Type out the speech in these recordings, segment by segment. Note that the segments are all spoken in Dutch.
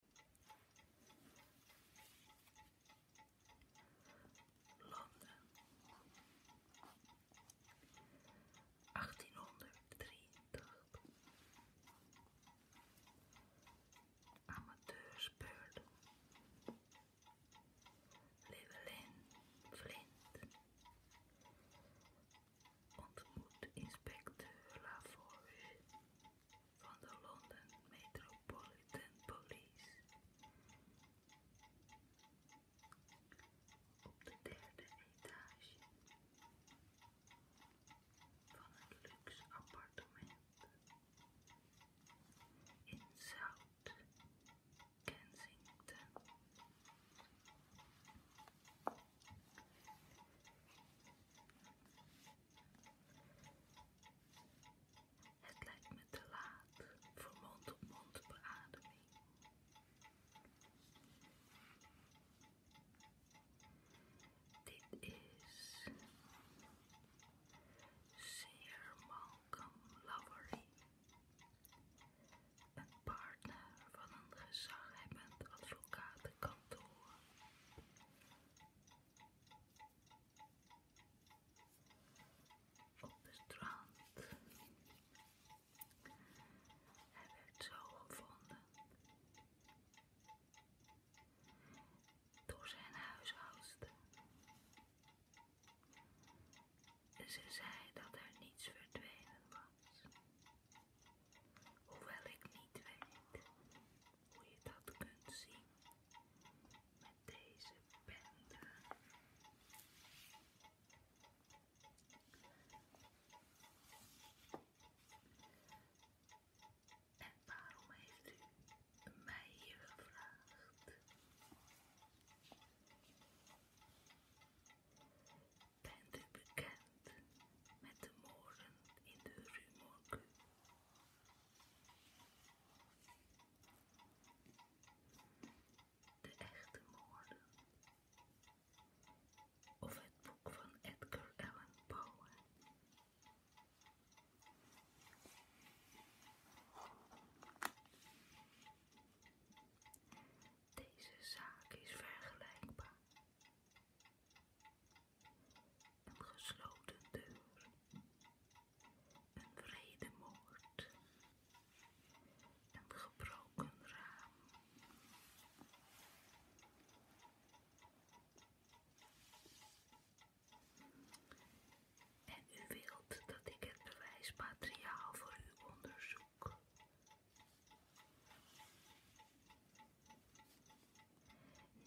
Londen. 1883. Amateurspeurder. Llewellyn Flint ontmoet inspecteur Laforge van de London Metropolitan Police. Op de derde etage van een luxe appartement in South Kensington. Het lijkt me te laat voor mond-op-mond beademing. Dit is Sir Malcolm Lowery, een partner van een gezaghebbend advocatenkantoor op het strand. Hij werd zo gevonden door zijn huishoudster. Ze zei dat er niets verdwenen was, hoewel ik niet weet hoe je dat kunt zien met deze bende. En waarom heeft u mij hier gevraagd? Bent u bekend met de moorden in de Rue de echte moorden. Of het boek van Edgar Allan Poe. Deze zaak is vergelijkbaar gesloten deur, een vrede moord, een gebroken raam. En u wilt dat ik het bewijsmateriaal voor uw onderzoek.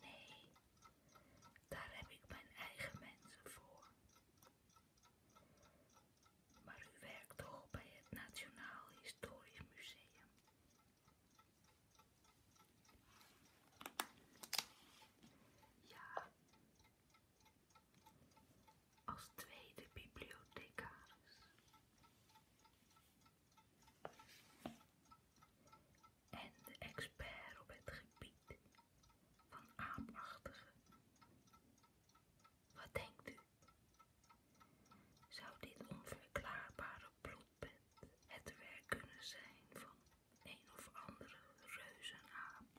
Nee, daar heb ik mijn eigen mensen voor. Maar u werkt toch bij het Nationaal Historisch Museum? Ja. Als tweede bibliothecaris en de expert op het gebied van aapachtigen. Wat denkt u? Zou dit onverklaarbare bloedbed het werk kunnen zijn van een of andere reuzenaap?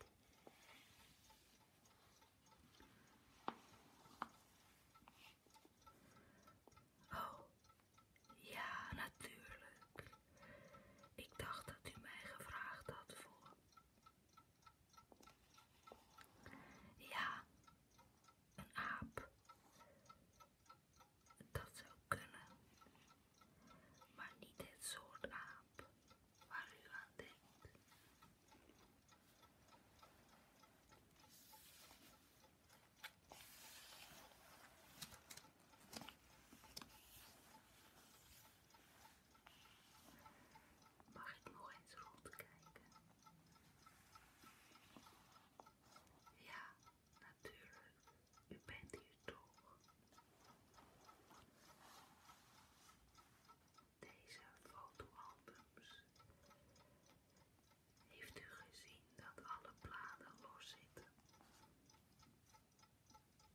Oh, ja, natuurlijk. Ik dacht dat u mij gevraagd had voor. Ja, een aap. Dat zou kunnen, maar niet dit soort aap waar u aan denkt. Mag ik nog eens rondkijken? Ja, natuurlijk. U bent hier toch? Deze fotoalbums. Heeft u gezien dat alle bladen los zitten? Dit moet gebeurd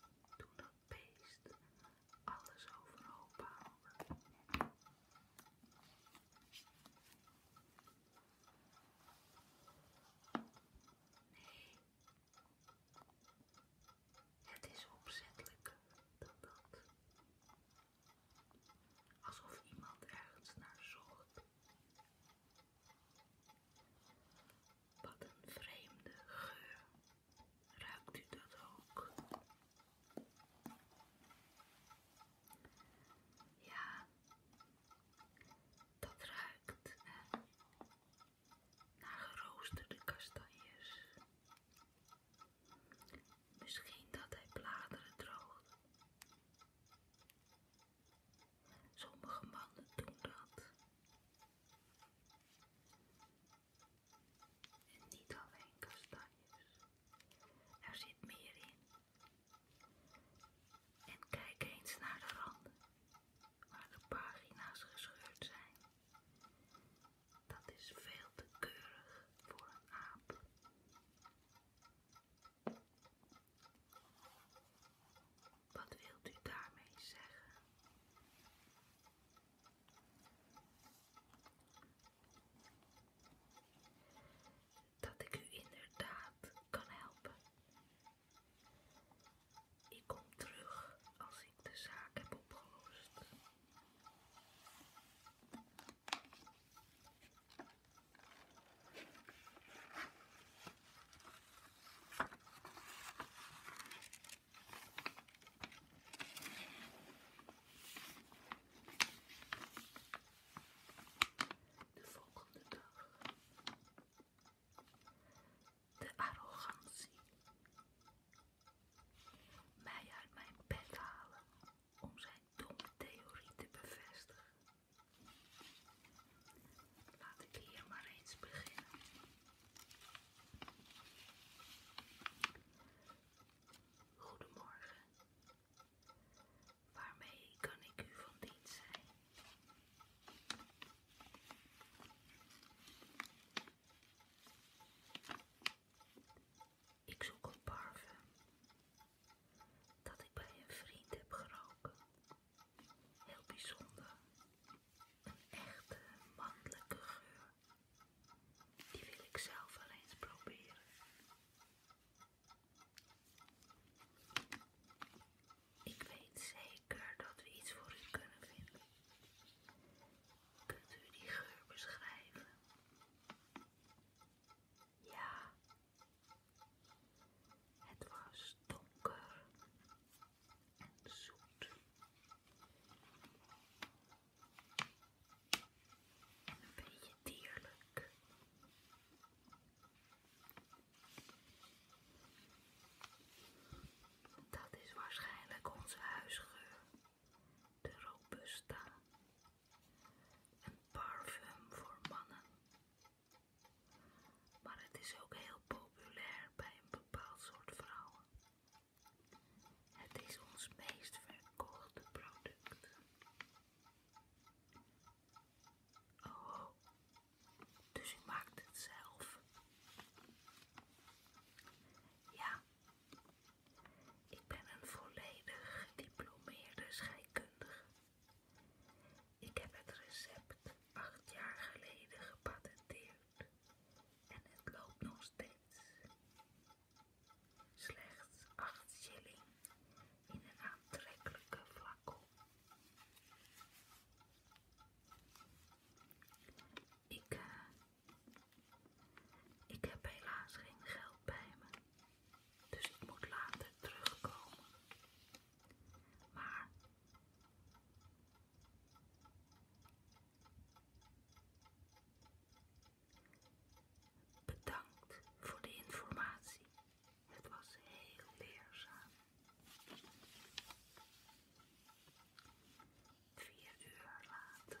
zijn toen dat beest alles overhoop haalde. Nee, het is opzettelijker dan dat. Alsof iemand ergens naar zocht. Wat een vreemde geur. Ruikt u dat ook? Ja, dat ruikt eh, naar geroosterde kastanjes. Misschien dus dat hij bladeren droogt. Sommige mannen doen dat. En niet alleen kastanjes. Er zit meer in. En kijk eens naar de randen, waar de pagina's gescheurd zijn. Dat is veel te keurig voor een aap. Wat wilt u daarmee zeggen? Dat ik u inderdaad kan helpen. Ik kom terug als ik de zaak heb opgelost. De volgende dag. De arrogantie. Mij uit mijn bed halen om zijn dom theorie te bevestigen. Laat ik hier maar eens beginnen. Goedemorgen. Waarmee kan ik u van dienst zijn? Ik zoek een parfum dat ik bij een vriend heb geroken. Heel bijzonder. Een echte mannelijke geur. Die wil ik zelf wel eens proberen. Ik weet zeker dat we iets voor u kunnen vinden. Kunt u die geur beschrijven? Ja, het was donker en zoet. En een beetje dierlijk. Dat is waarschijnlijk onze huisgeur, de robusta. Een parfum voor mannen. Maar het is ook heel populair bij een bepaald soort vrouwen. Het is ons meest verkochte product. Oh, oh. dus u maakt het zelf? Ja, ik ben een volledig gediplomeerde scheikundige. Ik heb het recept acht jaar geleden gepatenteerd en het loopt nog steeds. Slechts acht shilling in een aantrekkelijke flacon. Eh, ik heb helaas geen geld bij me. Dus ik moet later terugkomen. Maar bedankt voor de informatie. Het was heel leerzaam. Vier uur later.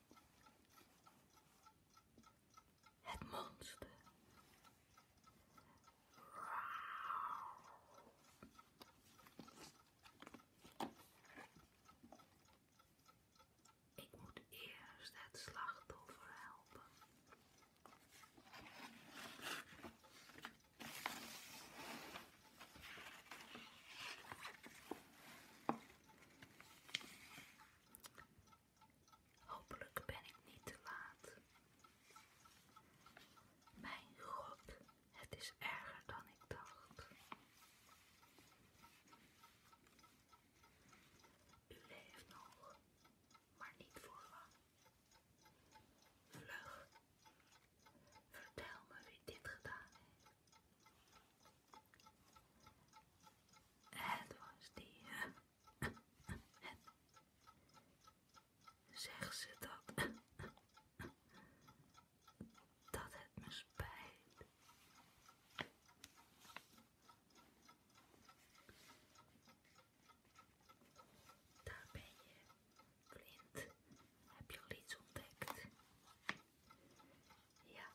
Het monster. Ik moet eerst het slachtoffer helpen. Hopelijk ben ik niet te laat. Mijn god, het is erger dan ik dacht. U leeft nog, maar niet voor lang. Vlug, vertel me wie dit gedaan heeft. Het was die. Het. Zeg ze dat. Dat het me spijt. Daar ben je, Clint. Heb je al iets ontdekt? Ja,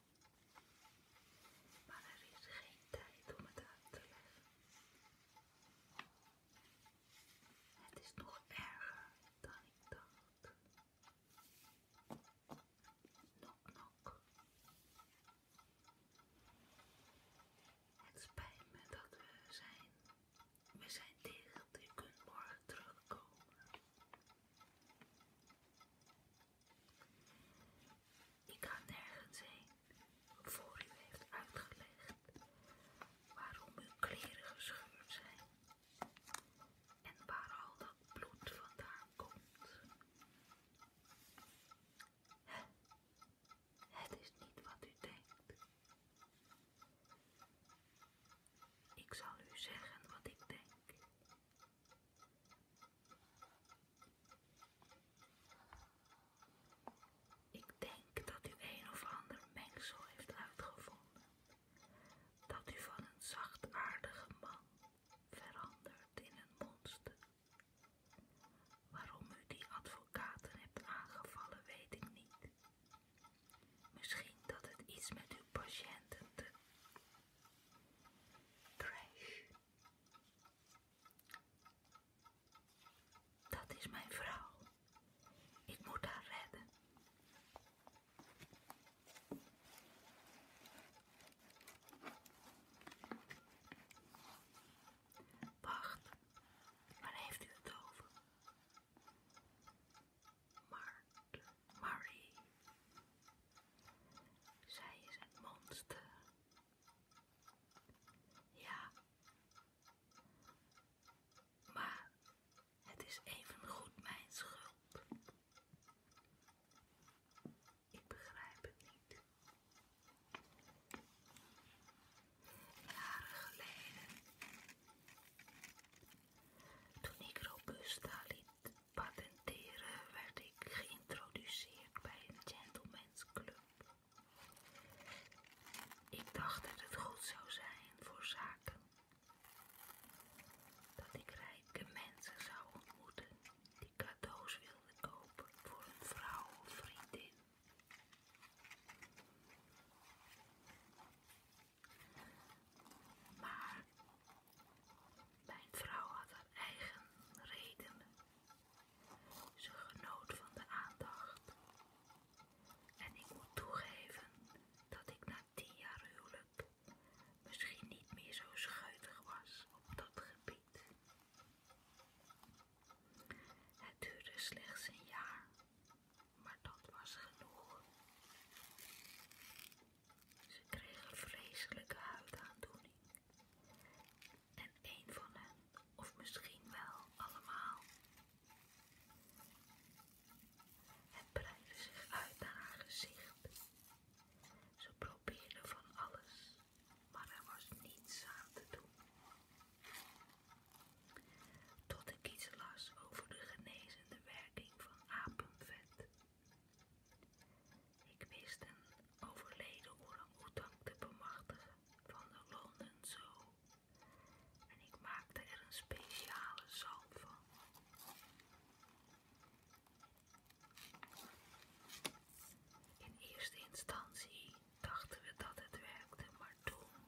maar er is geen tijd om het uit te leggen. Het is nog erger dan ik dacht. Nok, nok. Het spijt me dat we zijn. We zijn dicht. Je kunt morgen terugkomen. Ik ga nergens heen voor u heeft uitgelegd waarom uw kleren gescheurd zijn en waar al dat bloed vandaan komt. Het is niet wat u denkt. Ik zal u zeggen wat ik denk. Ik denk dat u een of ander mengsel heeft uitgevonden, dat u van een zachtaardige man verandert in een monster. Waarom u die advocaten hebt aangevallen, weet ik niet. Misschien dat het iets met uw patiënten te Crash. Dat is mijn vrouw. Ik moet haar redden. Wacht, waar heeft u het over? Maar. Marie. Zij is een monster. Ja. Maar het is even goed mijn schuld. Ik begrijp het niet. Jaren geleden, toen ik Robusta patenteren werd ik geïntroduceerd bij een gentleman's club. Ik dacht dat het goed zou zijn voor zaken. Dat ik rijke mensen zou ontmoeten die cadeaus wilden kopen voor hun vrouw of vriendin. Maar mijn vrouw had haar eigen reden, Ze genoot van de aandacht. En ik moet toegeven dat ik na tien jaar huwelijk misschien niet meer zo schuitig was op dat gebied. Het duurde slechts een jaar, maar dat was genoeg. Ze kregen vreselijke huidaandoeningen En een van hen, of misschien wel allemaal, het breidde zich uit naar haar gezicht. Ze probeerde van alles, maar er was niets aan te doen. Tot ik iets las over de genezende werking van apenvet. Ik wist een overleden orang-oetang te bemachtigen van de en Zoo. En ik maakte er een speciale zalm van. In eerste instantie dachten we dat het werkte, maar toen.